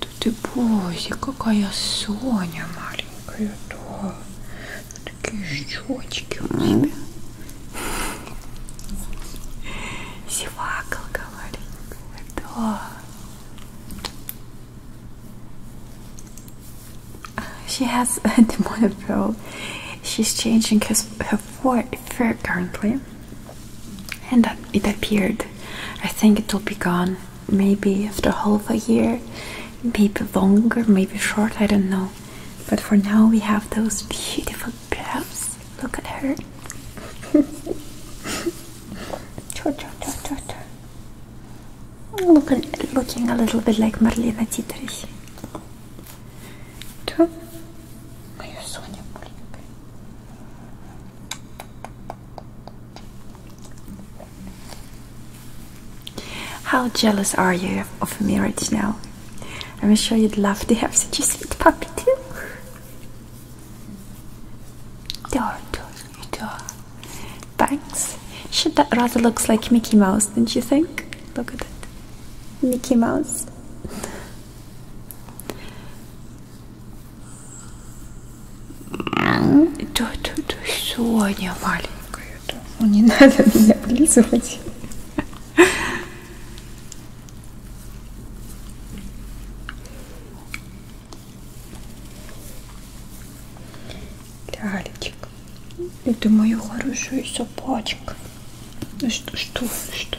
Да ты боже, какая Соня маленькая, да. Такие щечки у тебя. Зевакалка маленькая, да. She has a demonic pearl. She's changing his, her fur currently and it appeared. I think it will be gone maybe after half a year, maybe longer, maybe short, I don't know. But for now, we have those beautiful brows. Look at her. Looking, looking a little bit like Marlena Dietrich. How jealous are you of a marriage now? I'm sure you'd love to have such a sweet puppy too. Door, door, door. Thanks. that rather looks like Mickey Mouse, don't you think? Look at that, Mickey Mouse. Да, да, да, Соня маленькая. Ну, не надо меня вылизывать. Лялечек, это моя хорошая собачка. Ну что, что, что?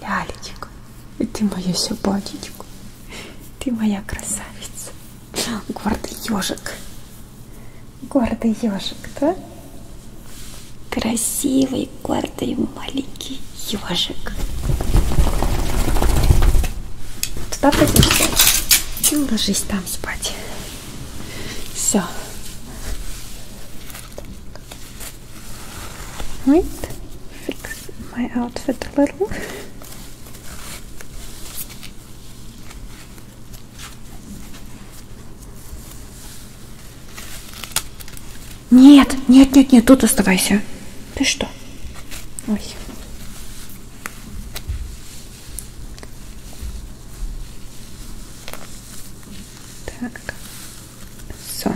Лялечка, ты моя собачечка, ты моя красавица, гордый ежик, гордый ежик, да? Красивый, гордый, маленький ежик. Туда пойдем спать и ложись там спать. Все. Right, fix my outfit a little. Нет, нет, нет, нет, тут оставайся. Ты что? Ой. Так. So.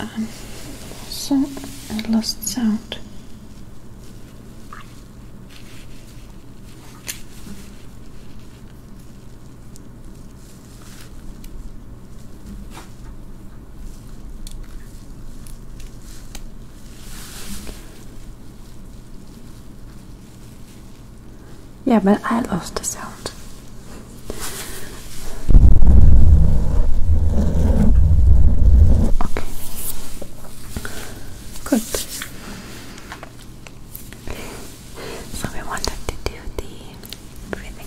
Um, so I lost sound. Yeah, but I lost the sound. Okay. Good. So we wanted to do the breathing.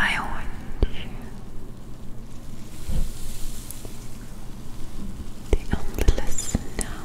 I want you the only now.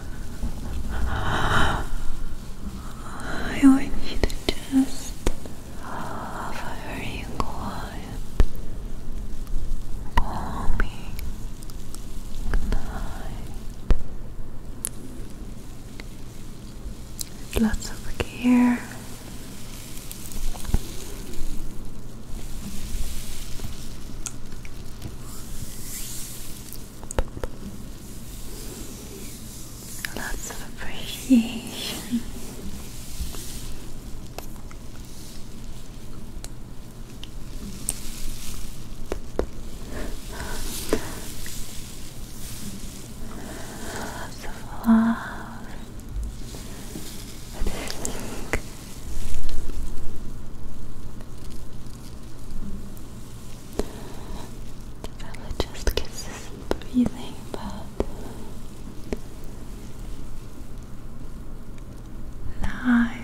I want you to just very quiet, calming night. Lots of care. Lots of appreciation. Lots of love. I think. The just gets this breathing, but life. I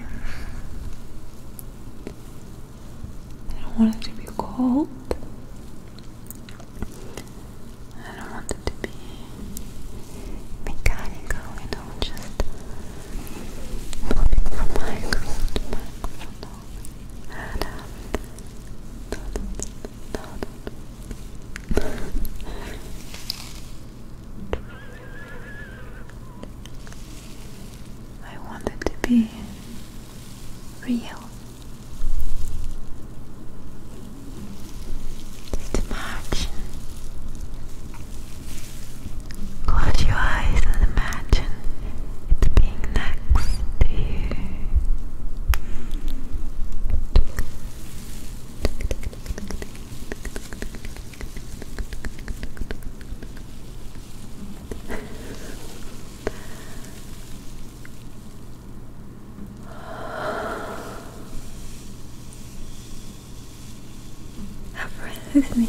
don't want it to be cold. I don't want it to be mechanical, you know, just I wanted to be real. Just imagine Close your eyes and imagine it being next to you. Have breath me.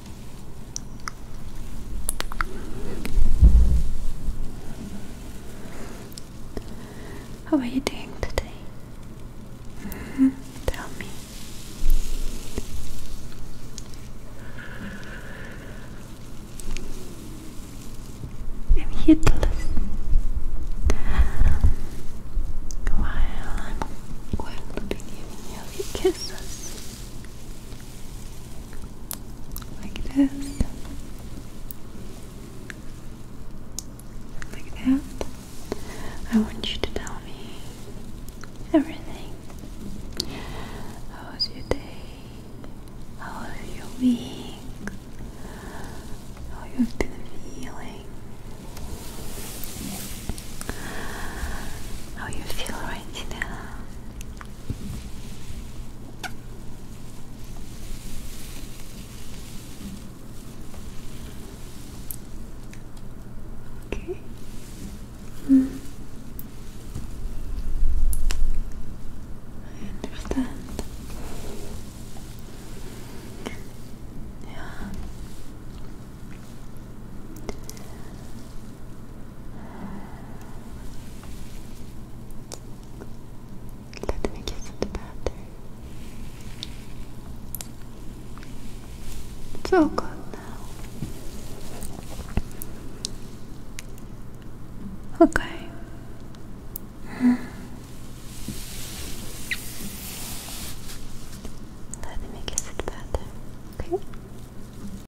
How are you doing today? Mm-hmm. Tell me. I'm here While I'm going to be giving you kisses like this, like that. I want you to tell me everything. How was your day? How was your week? How you've been feeling? How you feel right now? Okay. Mm. I understand. Yeah. Let me get to the bathroom. It's all good now. Okay. Let me kiss it better, okay?